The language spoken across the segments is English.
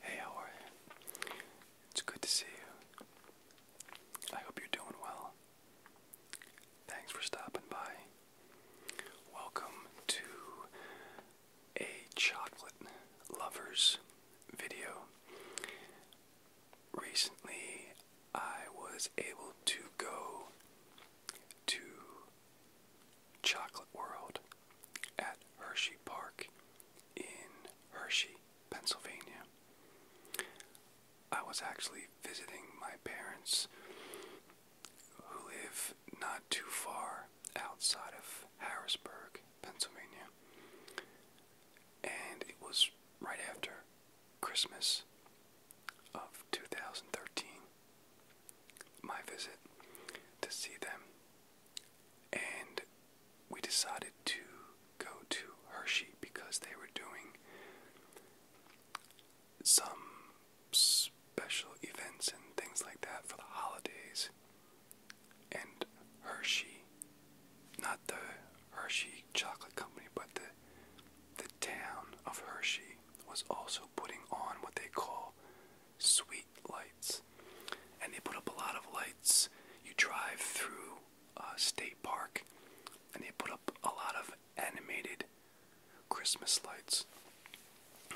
Hey, how are you? It's good to see you. I hope you're doing well. Thanks for stopping by. Welcome to a chocolate lovers video recently I was able to go to Chocolate World at Hershey Park in Hershey, Pennsylvania. I was actually visiting my parents who live not too far outside of Harrisburg, Pennsylvania. And it was right after Christmas of 2013, my visit to see them, and we decided to go to Hershey because they were doing some special events and things like that for the holidays. And Hershey not the Hershey Chocolate Company, but the the town of Hershey was also putting on what they call sweet lights, and they put up a lot of lights. You drive through a uh, State Park, and they put up a lot of animated Christmas lights,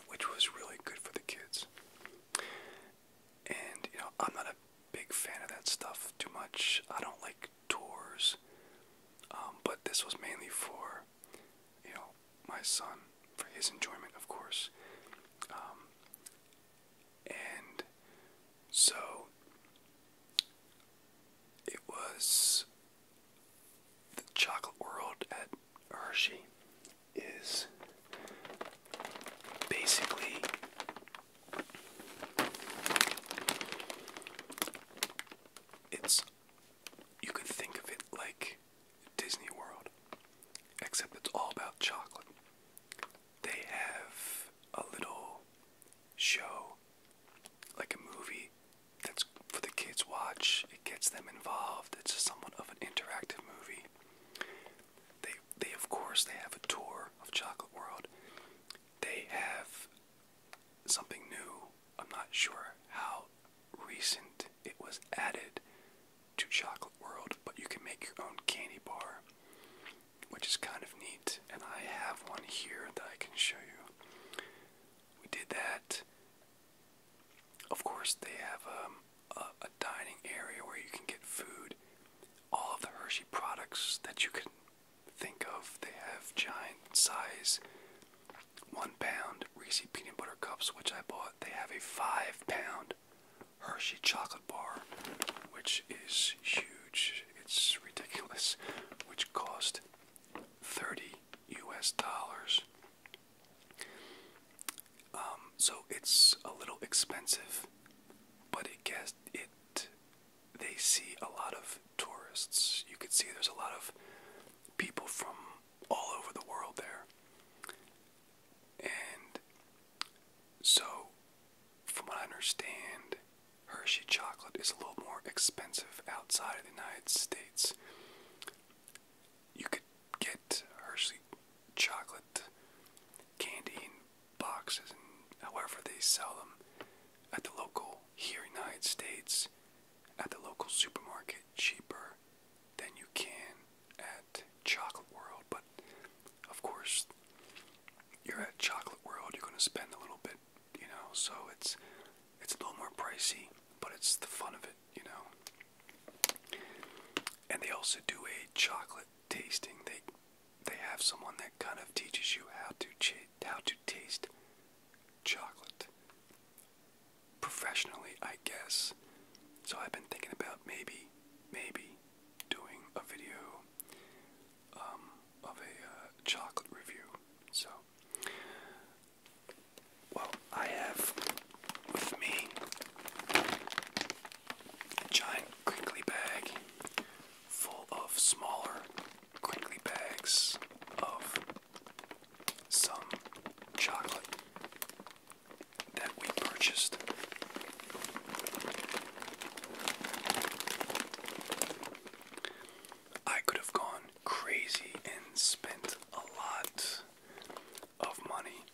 which was really good for the kids. And you know, I'm not a big fan of that stuff too much. I don't like tours. Um, but this was mainly for, you know, my son, for his enjoyment, of course. Um, and so it was the chocolate world at Hershey is basically it's you could think of it like Disney World, except it's all about chocolate. They have a little show, like a movie that's for the kids watch. It gets them involved. It's somewhat of an interactive movie. They they of course they have a tour of Chocolate World. They have something new. I'm not sure how recent it was added to Chocolate World, but you can make your own candy bar, which is kind of neat. And I have one here that I can show you. We did that. Of course, they have um, a dining area where you can get food all of the Hershey products that you can think of. They have giant size one pound Reese peanut butter cups, which I bought. They have a five pound Hershey chocolate bar, which is huge. It's ridiculous, which cost 30 US dollars. Um, so it's a little expensive, but it gets it they see a lot of tourists. You could see there's a lot of people from all over the world there. And so, from what I understand, Hershey chocolate is a little more expensive outside of the United States. You could get Hershey chocolate candy boxes and however they sell them at the local here in the United States at the local supermarket cheaper than you can at Chocolate World. But of course, you're at Chocolate World, you're going to spend a little bit, you know, so it's it's a little more pricey, but it's the fun of it, you know. And they also do a chocolate tasting. They they have someone that kind of teaches you how to how to taste chocolate professionally, I guess. So I've been thinking about maybe, maybe doing a video um, of a uh, chocolate review. So, well, I have with me a giant crinkly bag full of smaller crinkly bags of some chocolate that we purchased. I could have gone crazy and spent a lot of money,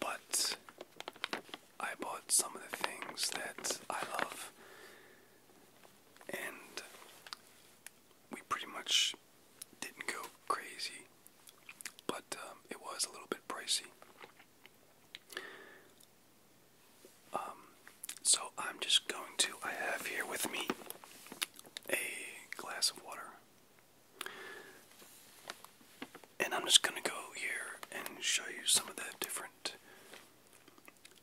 but I bought some of the things that I love, and we pretty much didn't go crazy, but um, it was a little bit pricey. Um, so I'm just going to, I have here with me a glass of water. And I'm just going to go here and show you some of the different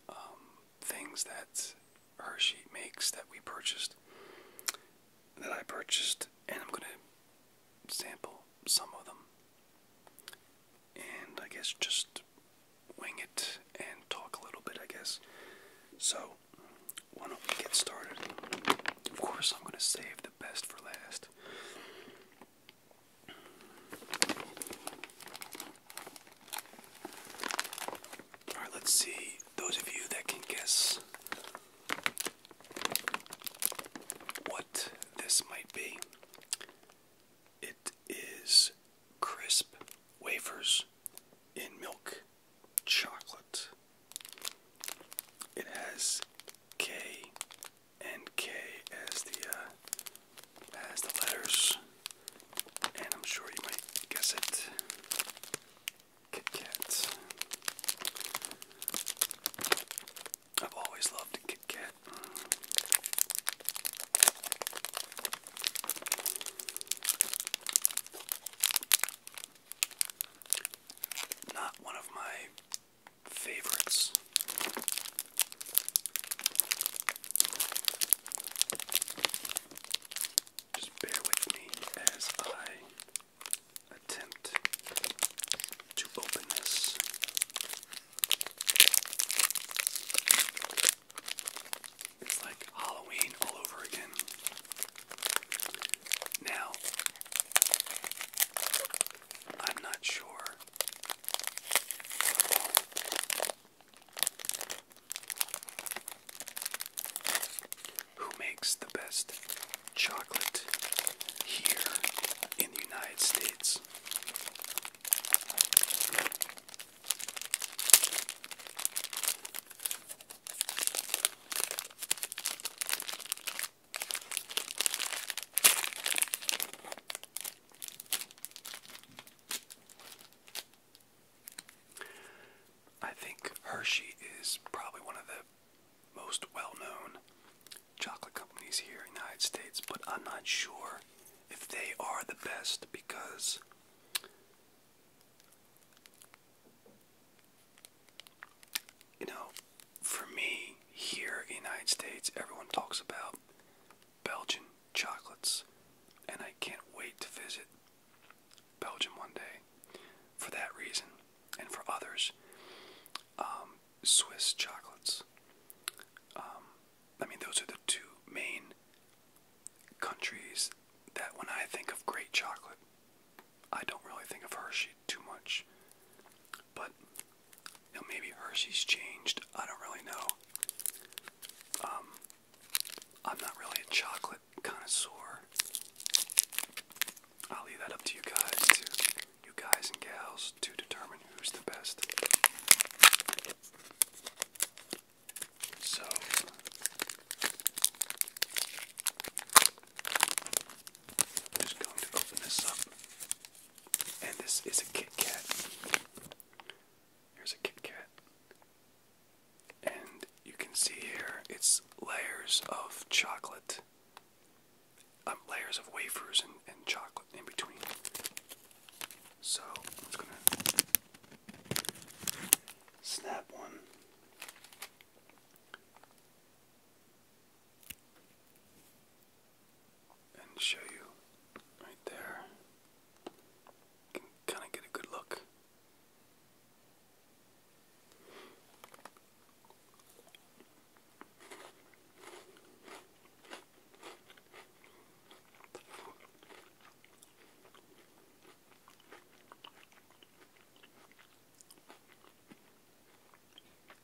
um, things that Hershey makes that we purchased, that I purchased, and I'm gonna sample some of them, and I guess just wing it and talk a little bit, I guess. So, why don't we get started? Of course, I'm gonna save the best for last. Alright, let's see those of you that can guess what this might be. It is crisp wafers in milk chocolate. It has K and K as the uh, as the letters, and I'm sure you might guess it. Kit Kat. I've always loved a Kit Kat. Not one of my favorites. Just bear with me as I attempt to open this. It's like Halloween all over again. Now, I'm not sure who makes the best chocolate here in the United States? I think Hershey is probably one of the most well known chocolate companies here in the United States, but I'm not sure if they are the best because you know for me, here in the United States, everyone talks about Belgian chocolates, and I can't wait to visit Belgium one day for that reason, and for others. Um, Swiss chocolates. Um, I mean, those are the two main countries that when I think of great chocolate, I don't really think of Hershey too much. But you know, maybe Hershey's changed. I don't really know. Um, I'm not really a chocolate connoisseur. I'll leave that up to you guys, to you guys and gals, to determine who's the best. So. just going to open this up and this is a Kit Kat. Here's a Kit Kat. And you can see here it's layers of chocolate. Um, layers of wafers and, chocolate in between. So I'm just gonna snap one and show you right there. can kind of get a good look.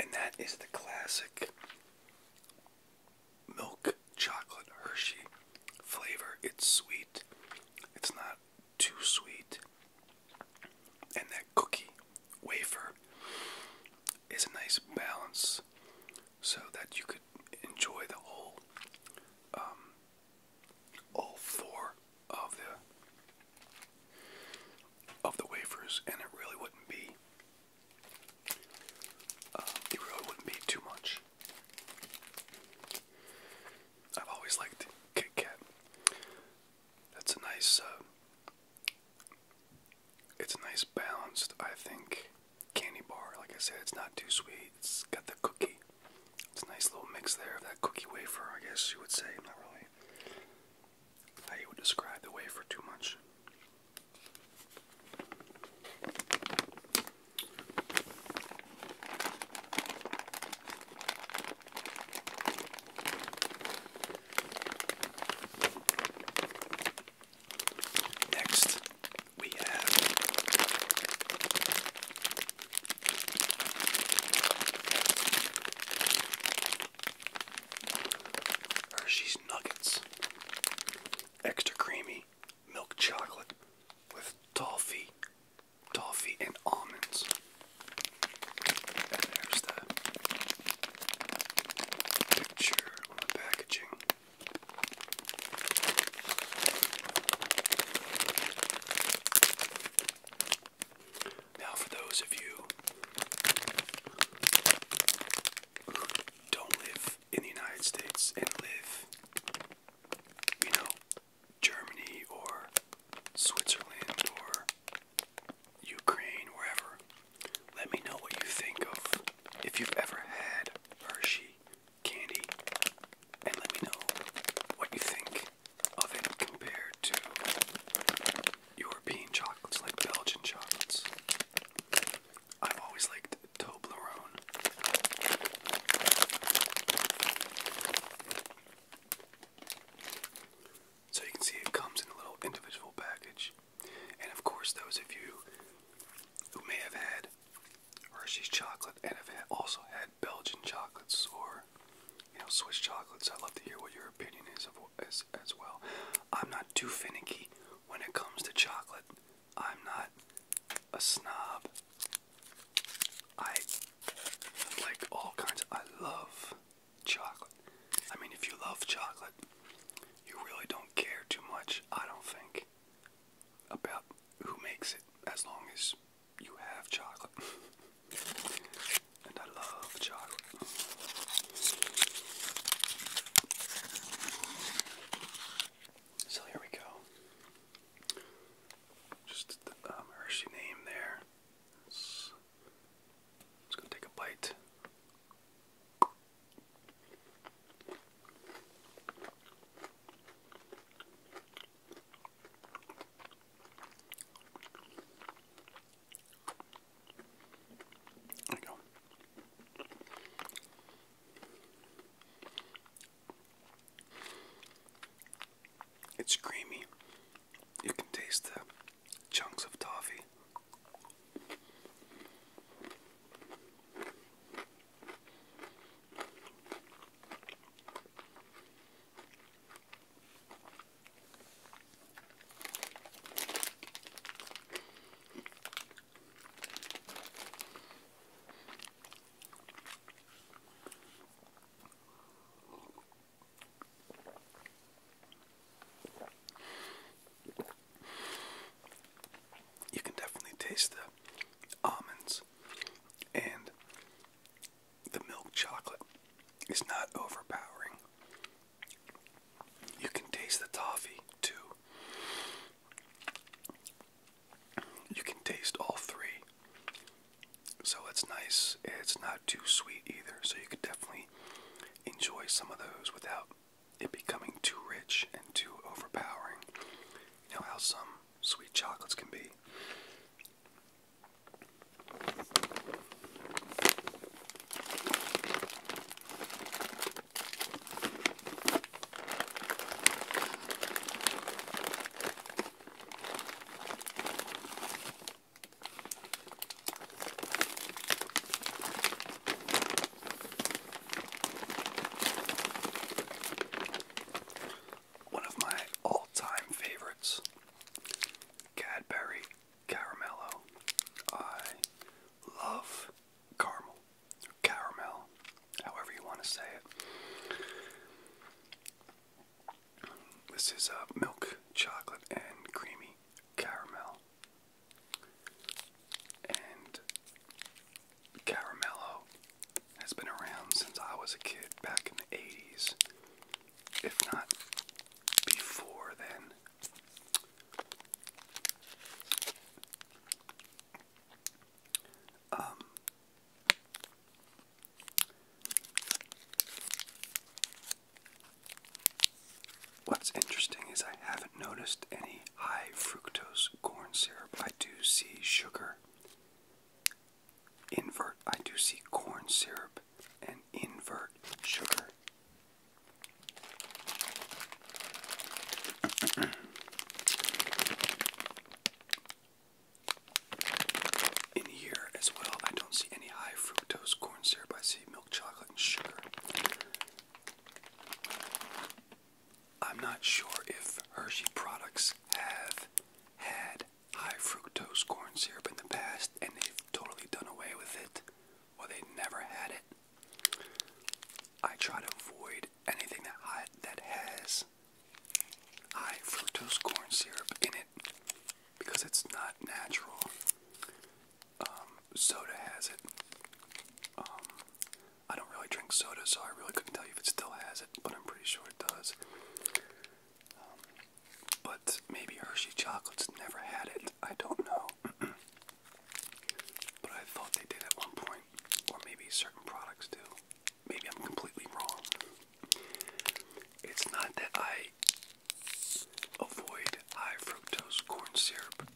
And that is the classic milk chocolate Hershey flavor. It's sweet, it's not too sweet. And that cookie wafer is a nice balance so that you could enjoy the whole, um, all four of the of the wafers, and it really wouldn't be. Uh, it really wouldn't be too much. I've always liked Kit Kat. That's a nice. Uh, it's a nice balanced, I think, candy bar. Like I said, it's not too sweet. It's got the cookie. It's a nice little mix there of that cookie wafer, I guess you would say. not really I would describe the way for too much. Next, we have Hershey's Nuggets. Extra creamy milk chocolate with toffee, toffee and almonds. And there's the picture on the packaging. Now, for those of you who don't live in the United States and live, you know, Germany or Switzerland or Ukraine, wherever, let me know what you think of if you've ever had Hershey candy, and let me know what you think of it compared to European chocolates, like Belgian chocolates. I've always liked Toblerone. So you can see it comes in a little individual package. And of course, those of you who may have had Hershey's chocolate and have also had Belgian chocolates or you know, Swiss chocolates. I'd love to hear what your opinion is of as as well. I'm not too finicky when it comes to chocolate. I'm not a snob. I like all kinds. Of, I love chocolate. I mean, if you love chocolate, you really don't care too much. I don't think about who makes it, as long as you have chocolate. And I love chocolate. So here we go. Just the um, Hershey name there. It's, it's going take a bite. It's creamy. You can taste the chunks of toffee. You can definitely taste the almonds and the milk chocolate. is not overpowering. You can taste the toffee too. You can taste all three. So it's nice. It's not too sweet either. So you could definitely enjoy some of those without it becoming too rich and too overpowering. You know how some sweet chocolates can be. One of my all time favorites Cadbury Caramello. I love caramel. Caramel, however you want to say it. This is a uh, milk, chocolate, and creamy caramel. And Caramello has been around since I was a kid back in the 80s if not before then. Um, what's interesting is I haven't noticed any high fructose corn syrup. I do see sugar invert. I do see corn syrup and invert sugar. In here as well, I don't see any high fructose corn syrup. I see milk chocolate and sugar. I'm not sure if Hershey products have had high fructose corn syrup in the past and they've totally done away with it or they never had it. I try to avoid anything that, I, that has high fructose corn syrup in it because it's not natural. Um, soda has it. Um, I don't really drink soda, so I really couldn't tell you if it still has it, but I'm pretty sure it does. Um, but maybe Hershey Chocolates never had it. I don't know. but I thought they did at one point. Or maybe certain products do. Maybe I'm completely wrong. It's not that I avoid high fructose corn syrup.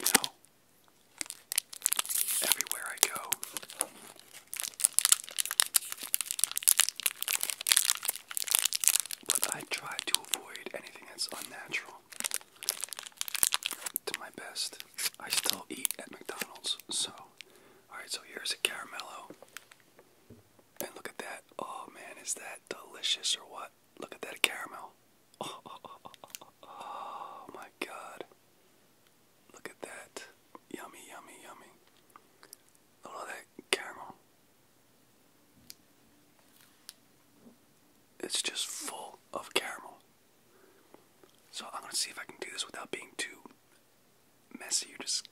You everywhere I go, but I try to avoid anything that's unnatural. To my best, I still eat at McDonald's. So, alright, so here's a caramello. And look at that. Oh man, is that delicious or what? Look at that caramel. Oh, my god. Look at that. Yummy, yummy, yummy. A little that caramel. It's just full of caramel. So I'm gonna see if I can do this without being too messy. You just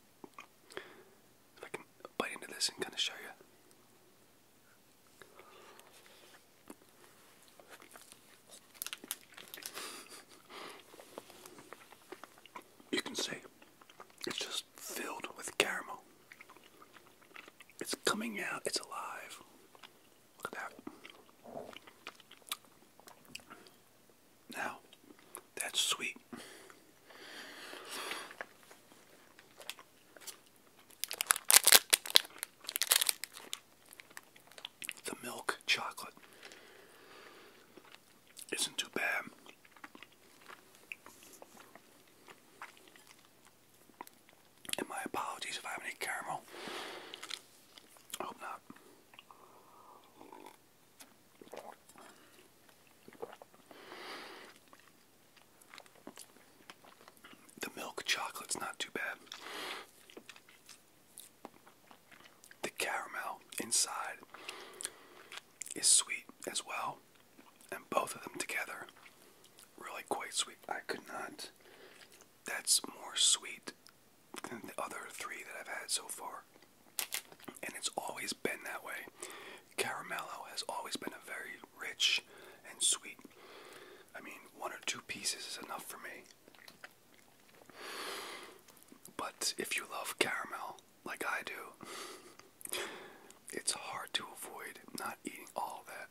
if I can bite into this and kind of show you you can see it's just filled with caramel. It's coming out, it's alive. Look at that. Now, that's sweet. The milk chocolate isn't too bad. my apologies if I have any caramel. hope not. The milk chocolate's not too bad. The caramel inside is sweet as well, and both of them together really quite sweet. I could not. That's more sweet than the other three that I've had so far, and it's always been that way. Caramello has always been a very rich and sweet. I mean, one or two pieces is enough for me. But if you love caramel like I do, it's hard to avoid not eating all that.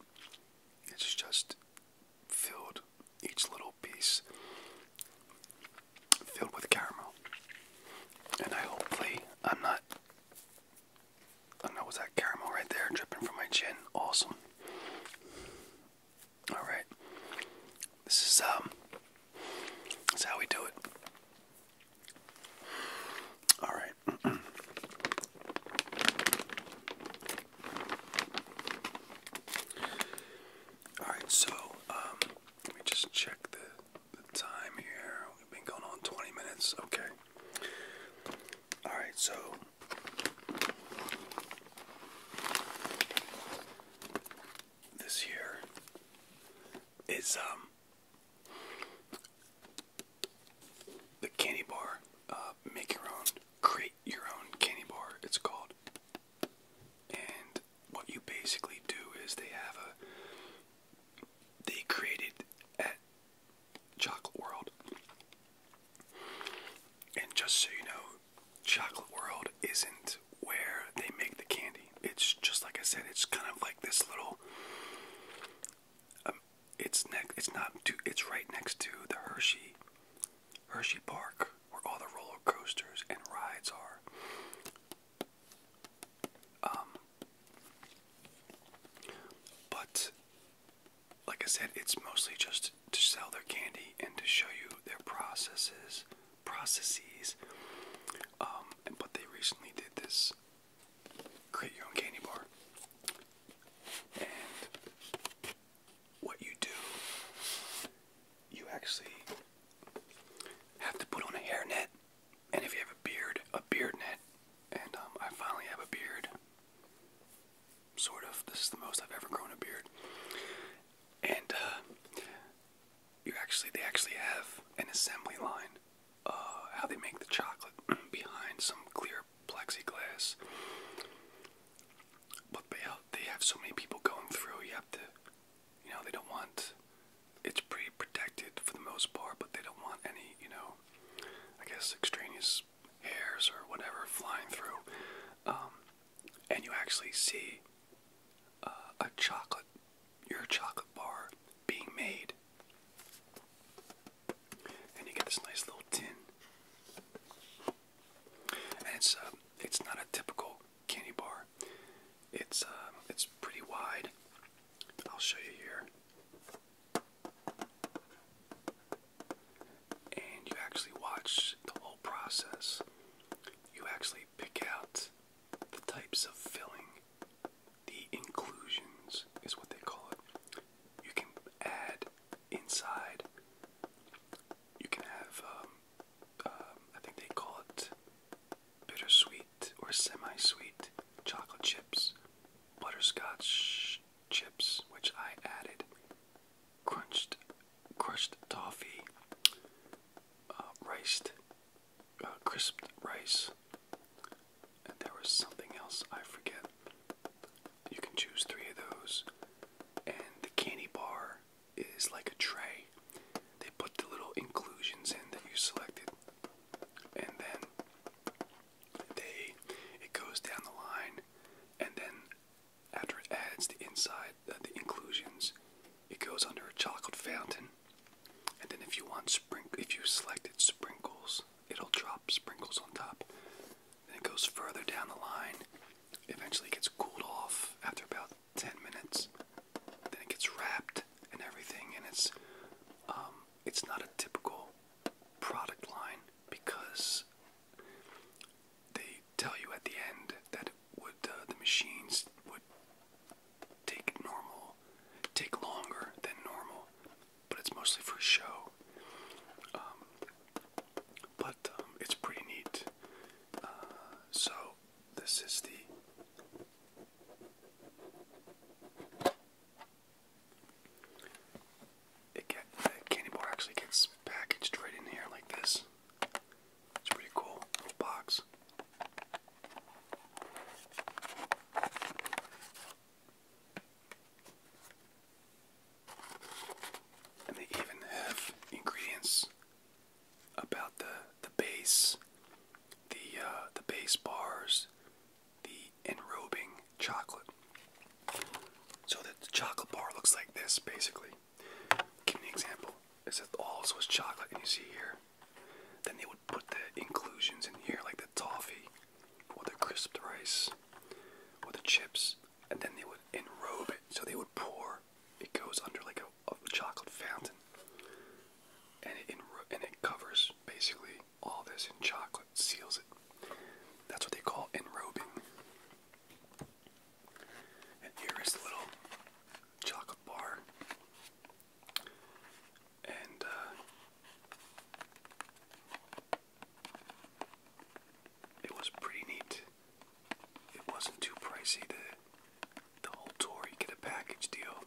It's just filled, each little piece filled with caramel. And I hopefully, I'm not. I know, was that caramel right there dripping from my chin? Awesome. All right. This is um that's how we do it. All right. All right, so um, let me just check the, the time here. We've been going on 20 minutes. Okay. All right, so this year is um the candy bar. Uh, make your own, create your own candy bar. It's called. And what you basically do is they have a. They created at Chocolate World. And just so you know, Chocolate World isn't where they make the candy. It's just like I said, it's kind of like this little. Um, it's next. It's not. it's right next to the Hershey, Hershey Park, where all the roller coasters and rides are. Um, but like I said, it's mostly just to sell their candy and to show you their processes processes. Um, but they recently did this create your own candy bar. And what you do, you actually have to put on a hairnet. And if you have a beard, a beard net. And um, I finally have a beard. Sort of. This is the most I've ever grown a beard. And uh, you actually they actually have an assembly line uh, how they make the chocolate behind some clear plexiglass but they have, they have so many people going through you have to you know they don't want it's pretty protected for the most part but they don't want any you know i guess extraneous hairs or whatever flying through um, and you actually see uh, a chocolate, your chocolate bar being made, and you get this nice little tin. it's uh, it's not a typical candy bar. It's um, it's pretty wide. I'll show you here. And you actually watch the whole process you actually pick out the types of filling. The inclusions is what they call it. You can add inside. You can have, um, um I think they call it bittersweet or semi sweet chocolate chips, butterscotch chips, which I added crunched crushed toffee, rice, uh, riced, uh, crisped rice, and there was something else I forget. You can choose three of those, and the candy bar is like a tray. They put the little inclusions in that you selected, and then they it goes down the line, and then after it adds the inside, uh, the inclusions, it goes under a chocolate fountain. And then if you want sprinkle, if you selected sprinkles, it'll drop sprinkles on top. Then it goes further down the line. Eventually, it gets cooled off after about 10 minutes. Then it gets wrapped and everything, and it's um, it's not a typical product line because they tell you at the end that would uh, the machines would take normal, take longer than normal, but it's mostly for show. Um, but um, it's pretty neat. Uh, so this is the. It get, the candy bar actually gets packaged right in here like this. It's pretty cool. Little box. And they even have ingredients about the the base, the uh, the base bars, the enrobing chocolate. So that the chocolate bar looks like this, basically. Give me an example. It says all this was chocolate, and you see here. Then they would put the inclusions in here, like the toffee, or the crisped rice, or the chips, and then they would enrobe it. So they would pour. It goes under like a, a chocolate fountain, and it and it covers basically all this in chocolate, seals it. That's what they call enrobing. And here is the little chocolate bar. And uh, it was pretty neat. It wasn't too pricey. The the whole tour, you get a package deal.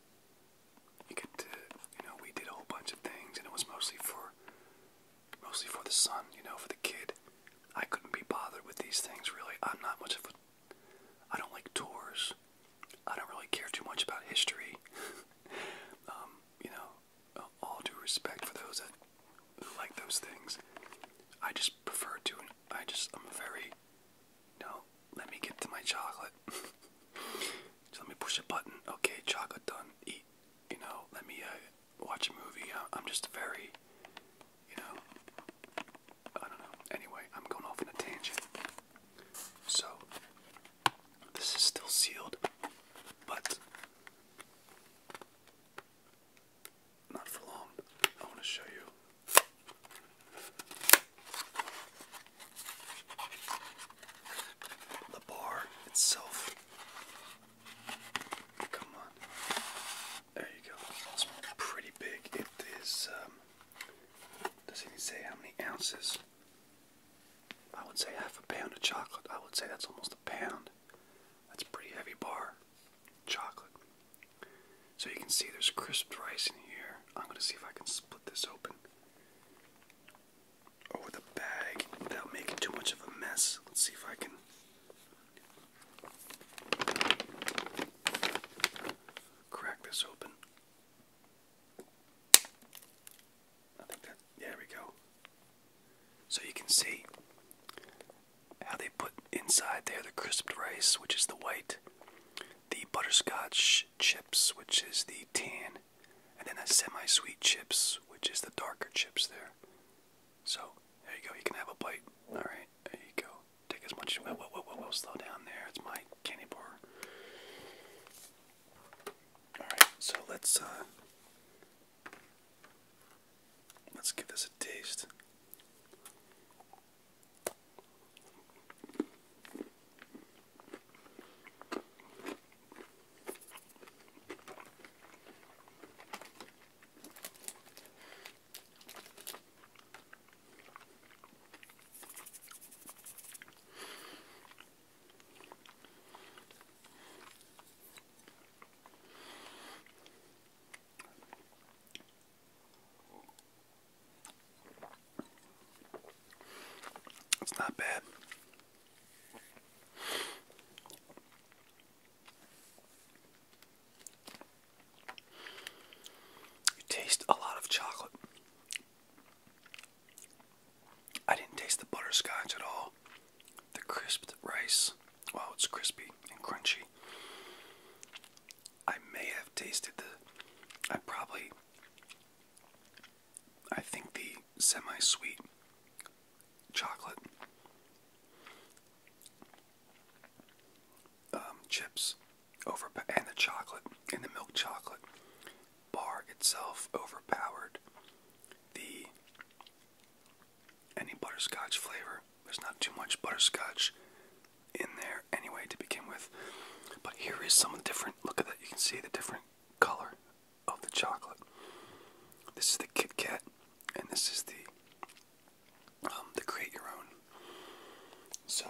You get you know, we did a whole bunch of things, and it was mostly for mostly for the son, you know, for the kid. I couldn't be bothered with these things really. I'm not much of a I don't like tours. I don't really care too much about history. um, you know, all due respect for those that like those things. I just prefer to I just I'm very No. let me get to my chocolate. let me push a button. Okay, chocolate done. Eat. You know, let me uh, watch a movie. I'm just very, you know, I don't know. Anyway, I'm going off on a tangent. So, this is still sealed, but not for long. I want to show you. The bar itself Come on. There you go. It's pretty big. It is, um, doesn't say how many ounces. I would say half a pound of chocolate. I would say that's almost a pound. That's a pretty heavy bar. Chocolate. So you can see there's crisped rice in here. I'm going to see if I can split this open over oh, the bag without making too much of a mess. Let's see if I can Crack this open. there we go. So you can see how they put inside there the crisped rice, which is the white, the butterscotch chips, which is the tan, and then the semi sweet chips, which is the darker chips there. So there you go. You can have a bite. All right, there you go. Take as much. Whoa, whoa, whoa, Slow down there. It's my candy bar. All right, so let's uh, let's give this a taste. It's not bad. You taste a lot of chocolate. I didn't taste the butterscotch at all. The crisped rice, wow, it's crispy and crunchy. I may have tasted the, I probably, I think the semi sweet chocolate um, chips and the chocolate and the milk chocolate bar itself overpowered the any butterscotch flavor. There's not too much butterscotch in there anyway to begin with. But here is some of the different look at that you can see the different color of the chocolate. This is the Kit Kat and this is the um, to create your own. So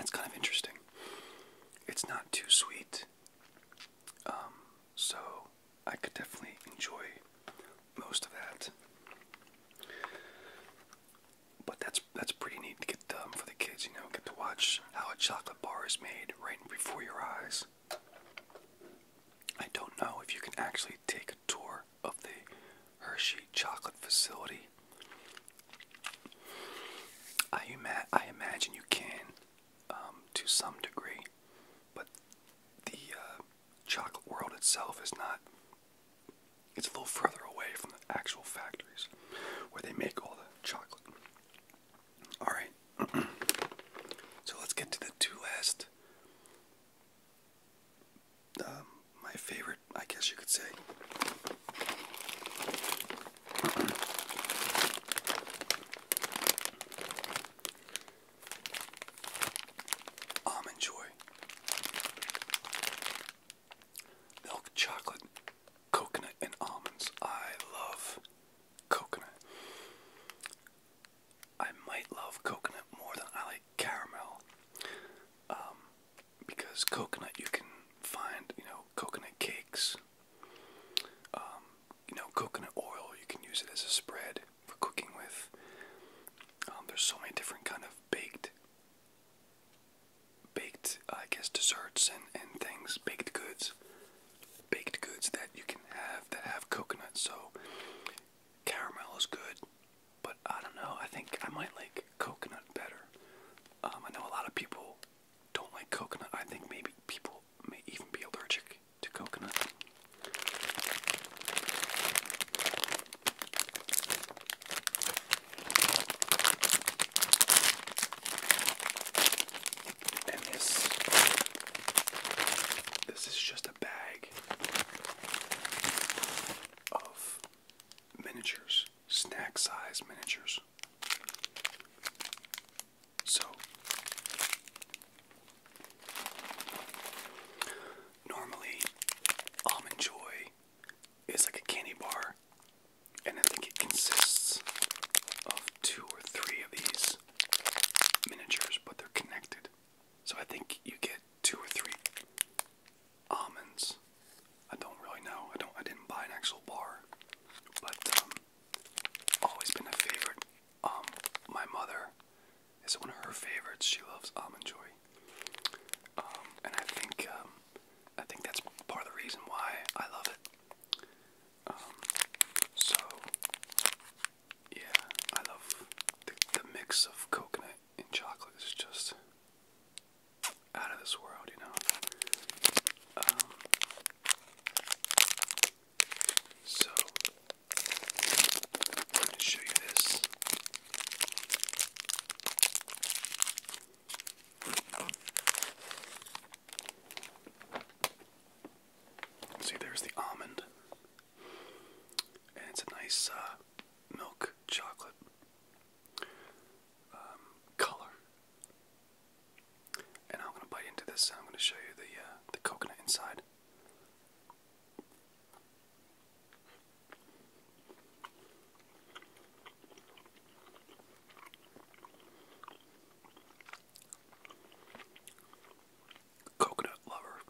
it's kind of interesting. It's not too sweet, um, so I could definitely enjoy most of that. But that's that's pretty neat to get um, for the kids, you know, get to watch how a chocolate bar is made right before your eyes. I don't know if you can actually take a tour of the Hershey chocolate facility. I, imagine you can um, to some degree, but the uh, chocolate world itself is not, it's a little further away from the actual factories where they make all the chocolate. Alright. so let's get to the two last. Um, my favorite, I guess you could say. Almond Joy. Milk chocolate, coconut, and almonds. I love coconut. I might love coconut more than I like caramel. Um, because coconut, you can find, you know, coconut cakes. Um, you know, coconut oil, you can use it as a spread for cooking with. Um, there's so many different kind of baked, baked, I guess, desserts and, and things, baked goods baked goods that you can have that have coconut. So caramel is good, but I don't know. I think I might like coconut better. Um, I know a lot of people don't like coconut. I think maybe people may even be allergic to coconut. And this this is just a bag of miniatures, snack size miniatures. So normally almond joy is like a candy bar and I think it consists of two or three of these miniatures, but they're connected. So I think you get two or three almonds. I don't really know. I don't. I didn't buy an actual bar, but um, always been a favorite. Um, my mother is one of her favorites. She loves almond joy, um, and I think um, I think that's part of the reason why I love it. Um, so yeah, I love the, the mix of coconut and chocolate is just out of this world, you know. Um, so I'm gonna show you this. See, there's the almond, and it's a nice uh, milk chocolate um, color. And I'm gonna bite into this, and I'm gonna show you the uh, the coconut inside. Coconut lover.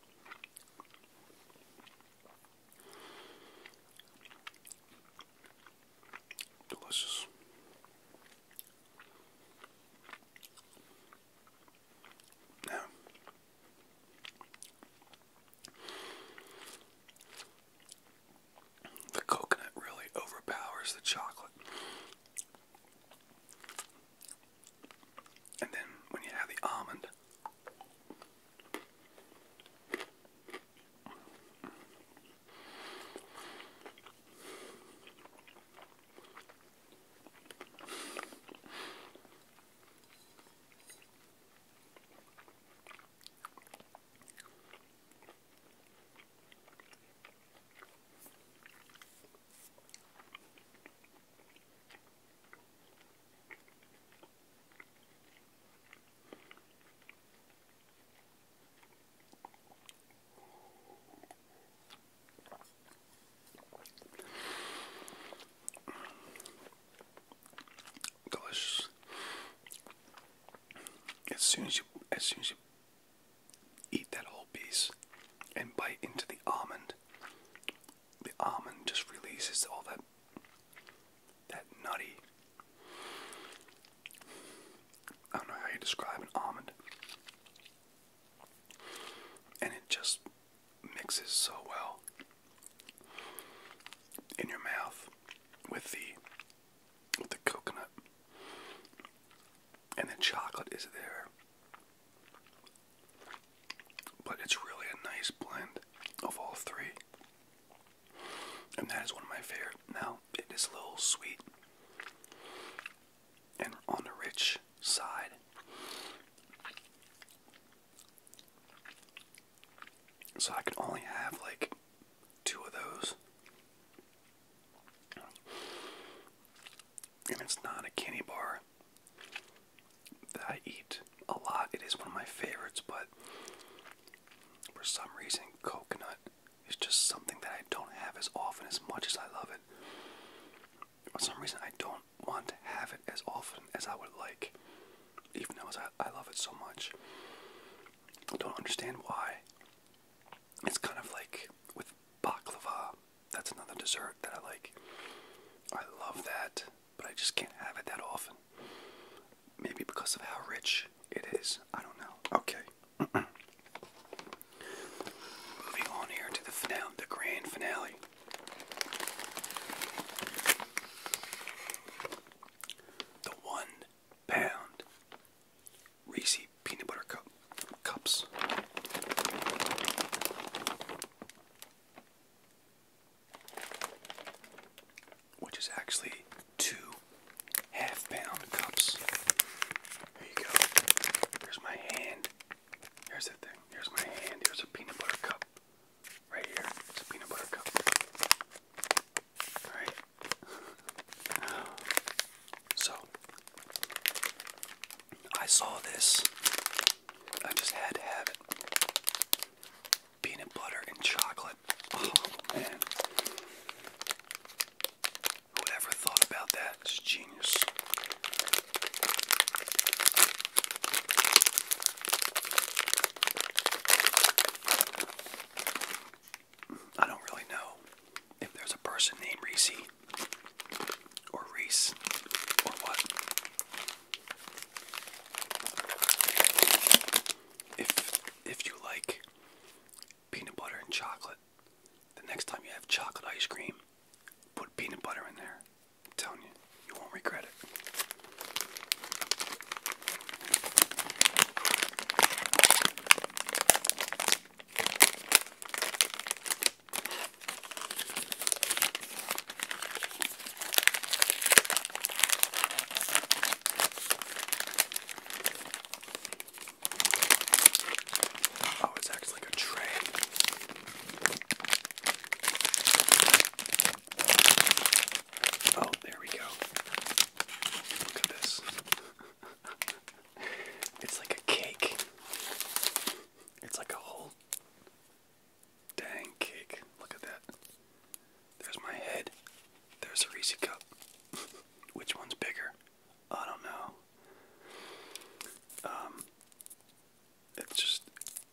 Delicious. Now, the coconut really overpowers the chocolate. And then when you have the almond, Delicious. As soon as you, as soon as you eat that whole piece and bite into the almond, the almond just releases all that that nutty. I don't know how you describe an almond. And it just mixes so well in your mouth with the with the coconut and the chocolate is there. But it's really a nice blend of all three. And that is one of my favorite. Now, it is a little sweet and on the rich side. So I can only have like two of those and it's not a candy bar that I eat a lot. It is one of my favorites, but for some reason, coconut is just something that I don't have as often as much as I love it. For some reason, I don't want to have it as often as I would like, even though I love it so much. I don't understand why. It's kind of like with baklava that's another dessert that I like. I love that, but I just can't have it that often. Maybe because of how rich it is. I don't know. Okay. Moving on here to the finale, the grand finale. The one pound Reese peanut butter cup cups. Which is actually two half pound cups. There you go. Here's my hand. Here's the thing. Here's my hand. Here's a peanut butter cup. Right here. It's a peanut butter cup. Alright. so, I saw this. I just had to have it. Peanut butter and chocolate. Oh man. Who ever thought about that is genius. I don't really know if there's a person named Reese or Reese or what. If if you like peanut butter and chocolate, the next time you have chocolate ice cream, put peanut butter in there. I'm telling you, you won't regret it. Oh, it's actually like a tray. Oh, there we go. Look at this. It's like a cake. It's like a whole dang cake. Look at that. There's my head. There's a Reese cup. Which one's bigger? I don't know. Um, it's just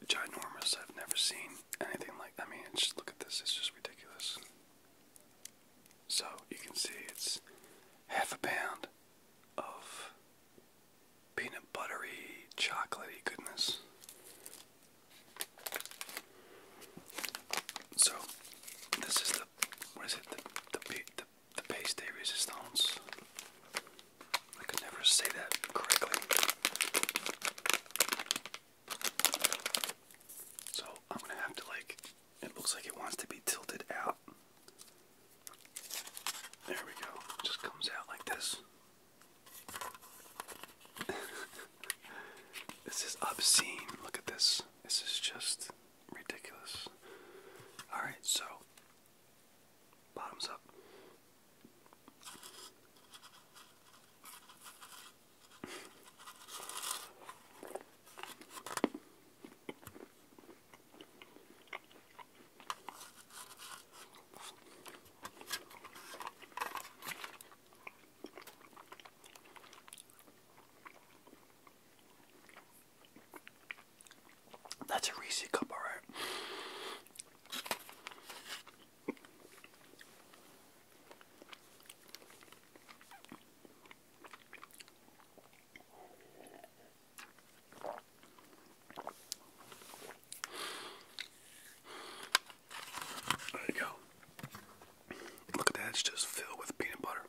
ginormous. I've never seen anything like. I mean, it's just look at this. It's just ridiculous. So you can see it's half a pound of peanut buttery, chocolatey goodness. So, this is the what is it? The the paste resistance. I could never say that correctly. So I'm gonna have to like it looks like it wants to be tilted out. There we go. just comes out like this. this is obscene. Look at this. This is just ridiculous. Alright, so bottoms up. That's a Reese cup, all right. There you go. Look at that, it's just filled with peanut butter.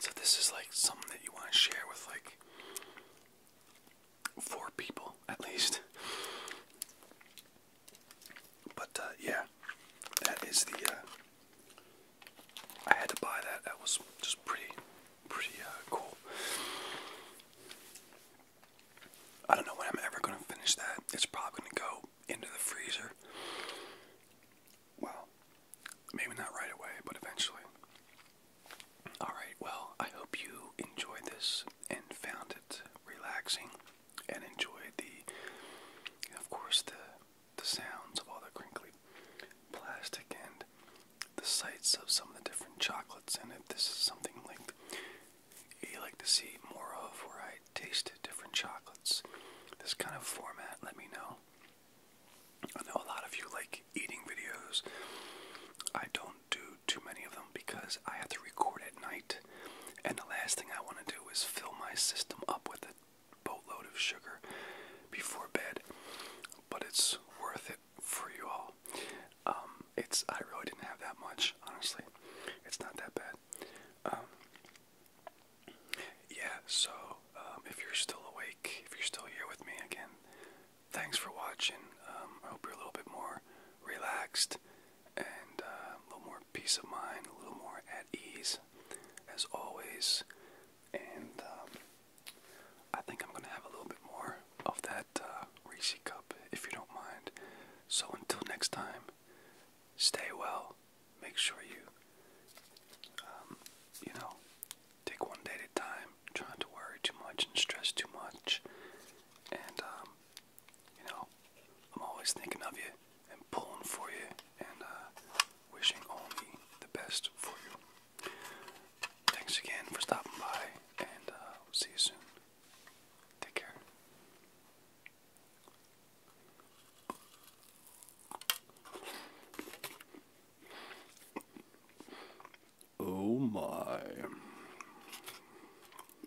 so this is like something that you want to share with like four people at least. But uh, yeah, that is the. Uh, I had to buy that. That was just pretty, pretty uh, cool. I don't know when I'm ever gonna finish that. It's probably gonna go into the freezer. Well, maybe not right away, but eventually. Alright, well, I hope you enjoyed this and found relaxing and enjoy the, of course, the the sounds of all the crinkly plastic and the sights of some of the different chocolates. And if this is something like you like to see more of, where I taste different chocolates, this kind of format, let me know. I know a lot of you like eating videos. I don't do too many of them because I have to record at night, and the last thing I want to do is fill my system up with a boatload of sugar before bed. But it's worth it for you all. Um, it's I really didn't have that much, honestly. It's not that bad. Um, yeah, so um, if you're still awake, if you're still here with me again, thanks for watching. I hope you're a little bit more relaxed and uh, a little more peace of mind, a little more at ease, as always. And um, I think I'm going to have a little bit more of that uh, Reese cup, if you don't mind. So until next time, stay well. Make sure you, um, you know, take one day at a time. Trying to worry too much and stress too much, and um, you know, I'm always thinking of you and pulling for you and uh, wishing only the best for you. Thanks again for stopping by and uh, we'll see you soon. Take care. Oh my.